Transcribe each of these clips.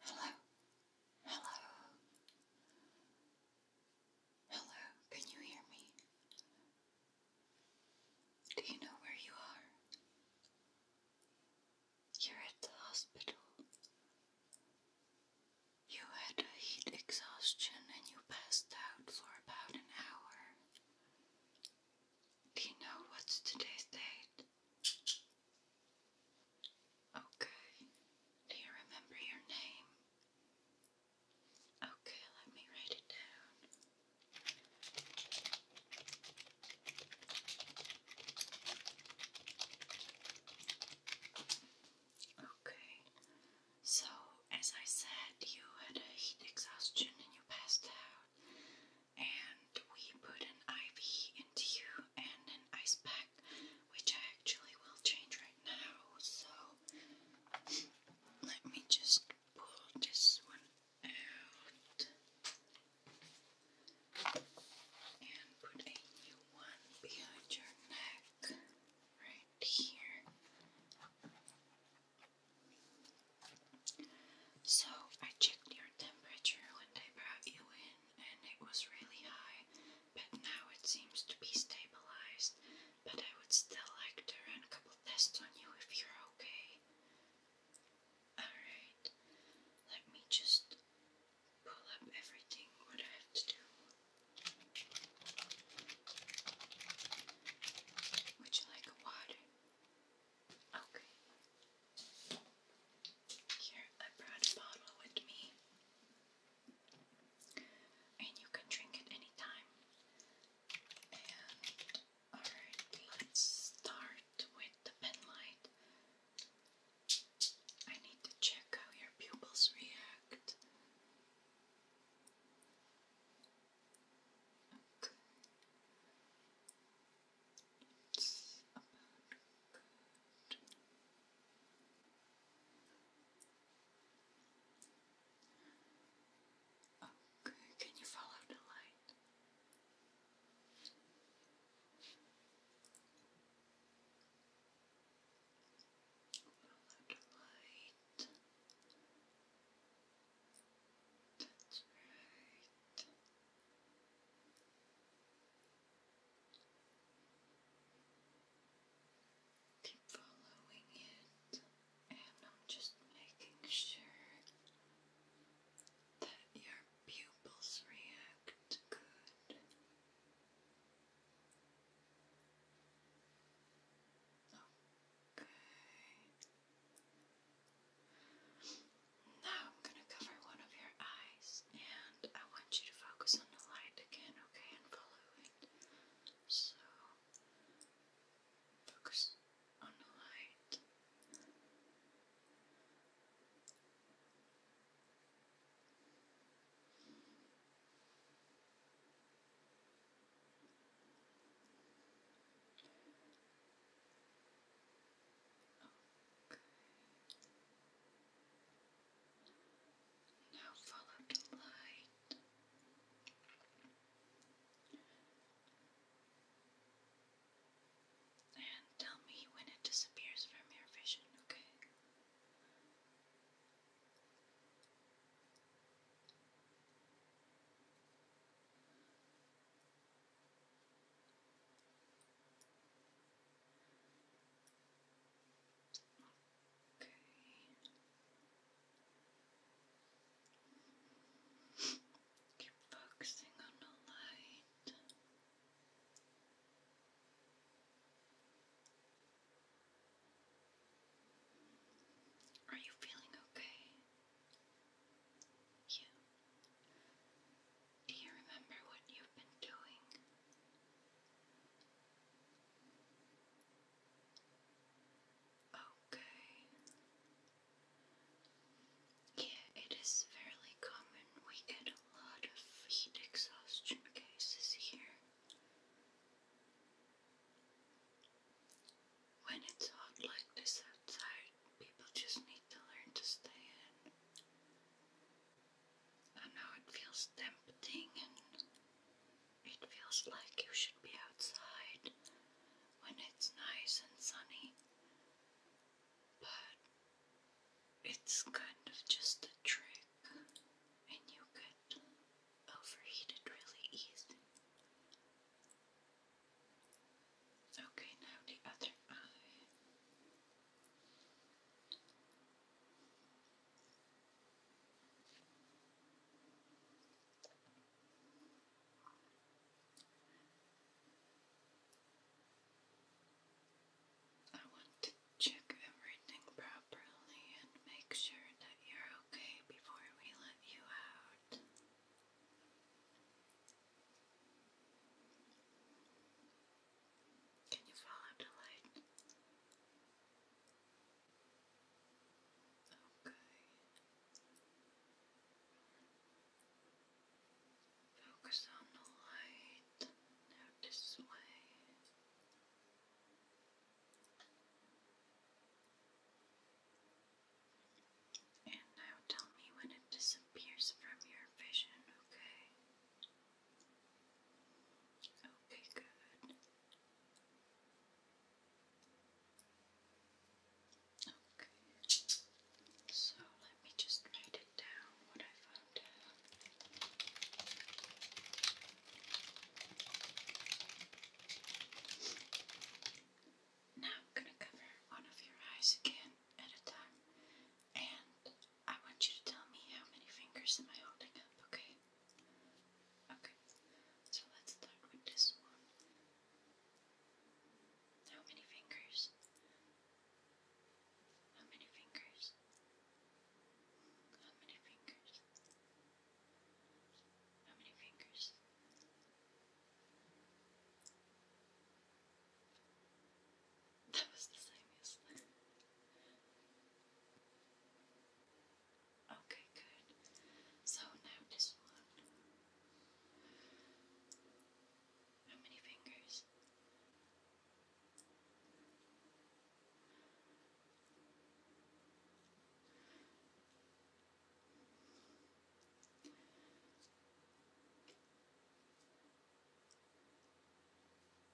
Hello. Hello. Hello. Can you hear me? Do you know where you are? You're at the hospital. You had a heat exhaustion and you passed out for about an hour. Do you know what's today's date? Okay. Do you remember your name? Okay, let me write it down. Okay. So, as I said, you had a heat exhaustion and you passed out and we put an IV into you and an ice pack, which I actually will change right now. So let me just pull this one out and put a new one behind your neck right here. So I checked your temperature when I brought you in, and it was really high, but now it seems to be stabilized. But I would still like to run a couple tests on you if you're okay. Alright, let me just pull up everything, what I have to do. Would you like water? Okay. Here, I brought a bottle with me. And you can drink it anytime. alright, let's start with the pen I need to check how your pupils react. Okay. It's Okay, can you follow the light? Follow the light. That's right. Keep following it, and I'm just making sure that your pupils react good. Okay. Now I'm going to cover one of your eyes and I want you to focus on the light again, okay, and follow So, focus on the light. Now follow the light. And tell me when it disappears from your vision, okay? Okay. Keep focusing on the light. Are you feeling okay? You. Do you remember what you've been doing? Okay. Yeah, it is fairly common. We get a lot of heat exhaustion cases here. When it's hot like this outside, people just need to learn to stay in. I know it feels tempting and it feels like you should be outside when it's nice and sunny, but it's kind of just a trick and you get overheated really easy. Okay, now the other eye. I want to check everything properly and make sure that you're okay before we let you out. Can you light? Okay. Focus on the light. Now way. And now tell me when it disappears from your vision, okay? Okay, good. Okay. So let me just write it down what I found Now I'm going to cover one of your eyes again at a time. And I want you to tell me how many fingers am I holding up, okay? Okay. So let's start with this one. How many fingers? How many fingers? How many fingers? How many fingers? That was the same as Okay, good. So now this one. How many fingers?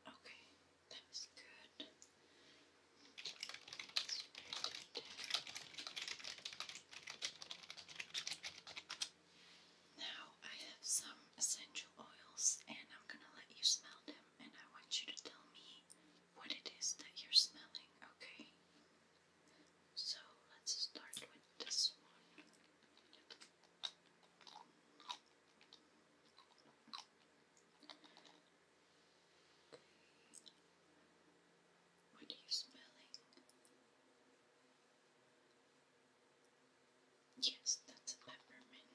Okay, that was good. Now I have some essential oils and I'm going to let you smell them and I want you to tell me what it is that you're smelling, okay? So let's start with this one. What are you smelling? Yes, that's a peppermint.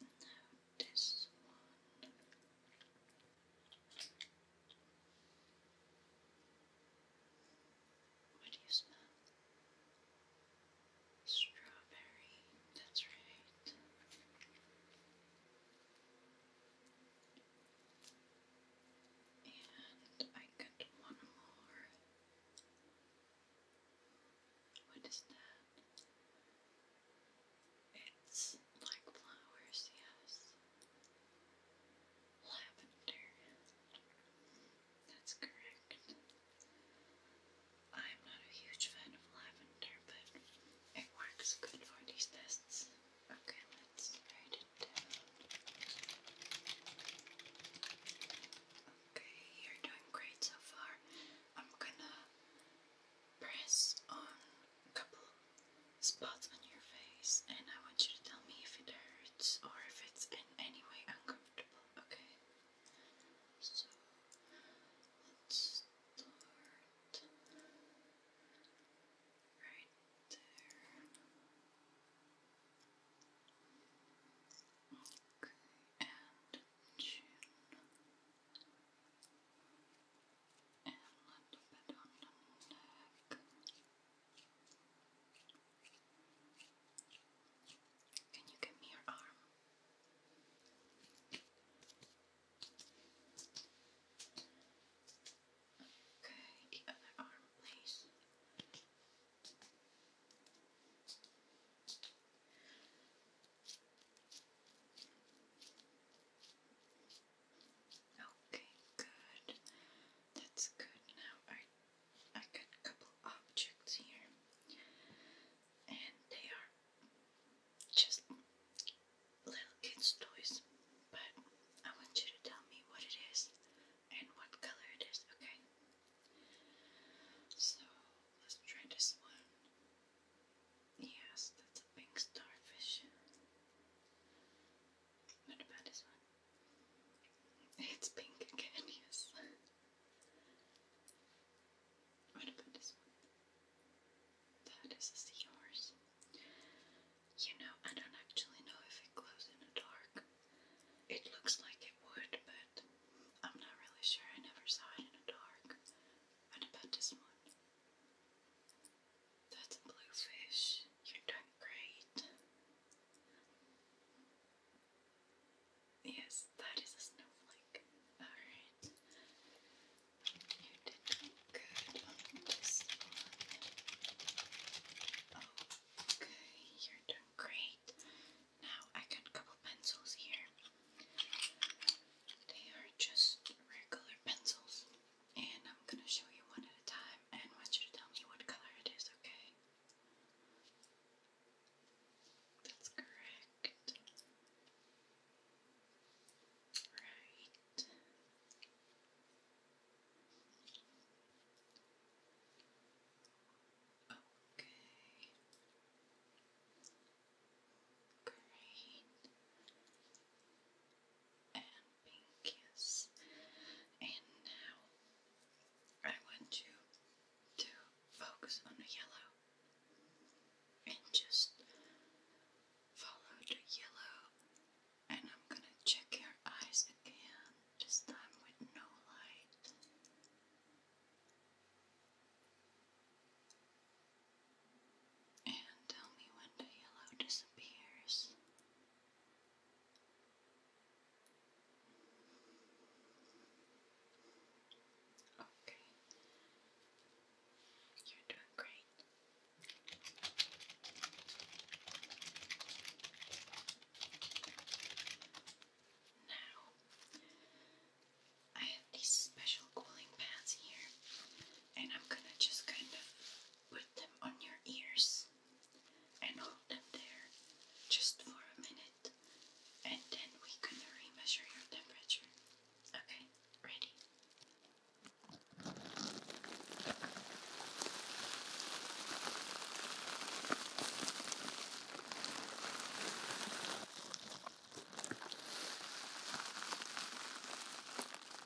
Now this one. What do you smell? Strawberry, that's right. And I got one more. What is that? It's like flowers, yes lavender. That's correct. I'm not a huge fan of lavender, but it works good for these tests. Okay, let's write it down. Okay, you're doing great so far. I'm gonna press on a couple spots on your face, and I want you to tell me if it hurts or if it's in any way uncomfortable, okay? So, let's start right there. Okay, and And a little bit on the neck. Can you give me your arm? Okay, the other arm, please. Okay, good. That's good. Now I I got a couple objects here. And they are just little kids' toys. But I want you to tell me what it is and what color it is, okay? So let's try this one. Yes, that's a pink starfish. What about this one? It's pink again, yes. What about this one? That is a You know, I don't actually know if it glows in the dark. It looks like it would, but I'm not really sure. I never saw it in the dark. What about this one? That's a bluefish. You're doing great. Yes, that is a snowflake. Alright. You did good on this one. Okay, you're doing great. Now I got a couple pencils here. They are just regular pencils and I'm going to show you one at a time and I want you to tell me what color it is, okay? That's correct. Right. Okay. Great and pink, is, And now I want you to focus on yellow and just follow the yellow. And I'm gonna check your eyes again, this time with no light. And tell me when the yellow disappears. Okay. You're doing great. Now, I have these special cooling pads here, and I'm gonna just kind of put them on your ears and hold them there just for a minute, and then we can re-measure your temperature. Okay, ready?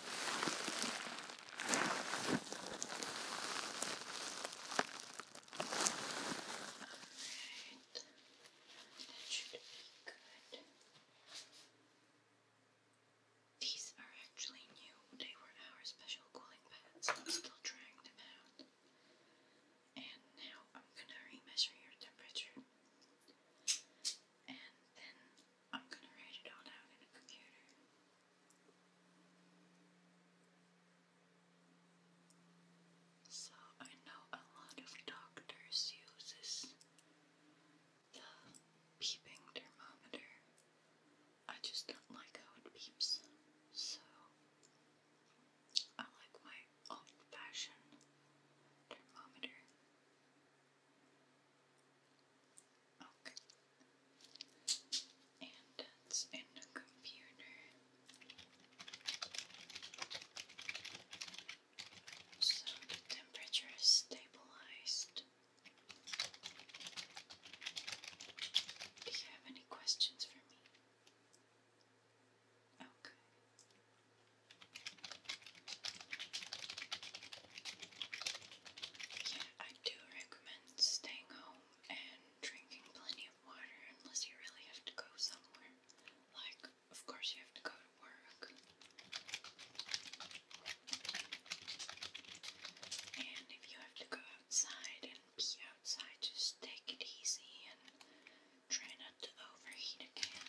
Alright, that should be good. These are actually new. They were our special cooling pads. I'm still trying them out. And now I'm gonna remeasure your temperature. And then I'm gonna write it all down in the computer. So I know a lot of doctors use the beeping thermometer. I just don't like how it beeps. So I like my old fashioned thermometer. Okay. And that's in the computer. So the temperature is stabilized. Do you have any questions for me? Okay. Yeah, I do recommend staying home and drinking plenty of water unless you really have to go somewhere. Like, of course, you have to go to work. And if you have to go outside and be outside, just take it easy and try not to overheat again.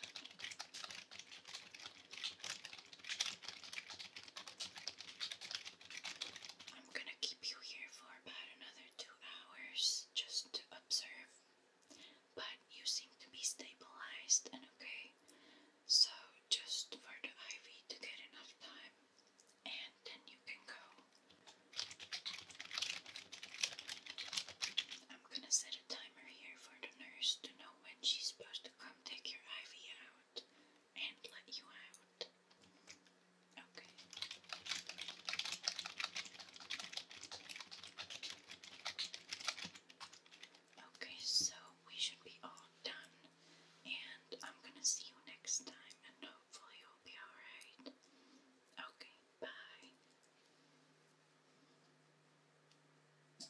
I'm gonna keep you here for about another two hours just to observe, but you seem to be stabilized and okay, so just for the IV to get enough time, and then you can go. I'm gonna set a timer here for the nurse to know when she's supposed to come take your ivy out and let you out. Okay. Okay, so we should be all done, and I'm gonna see you next time, and hopefully you'll be alright. Okay, bye.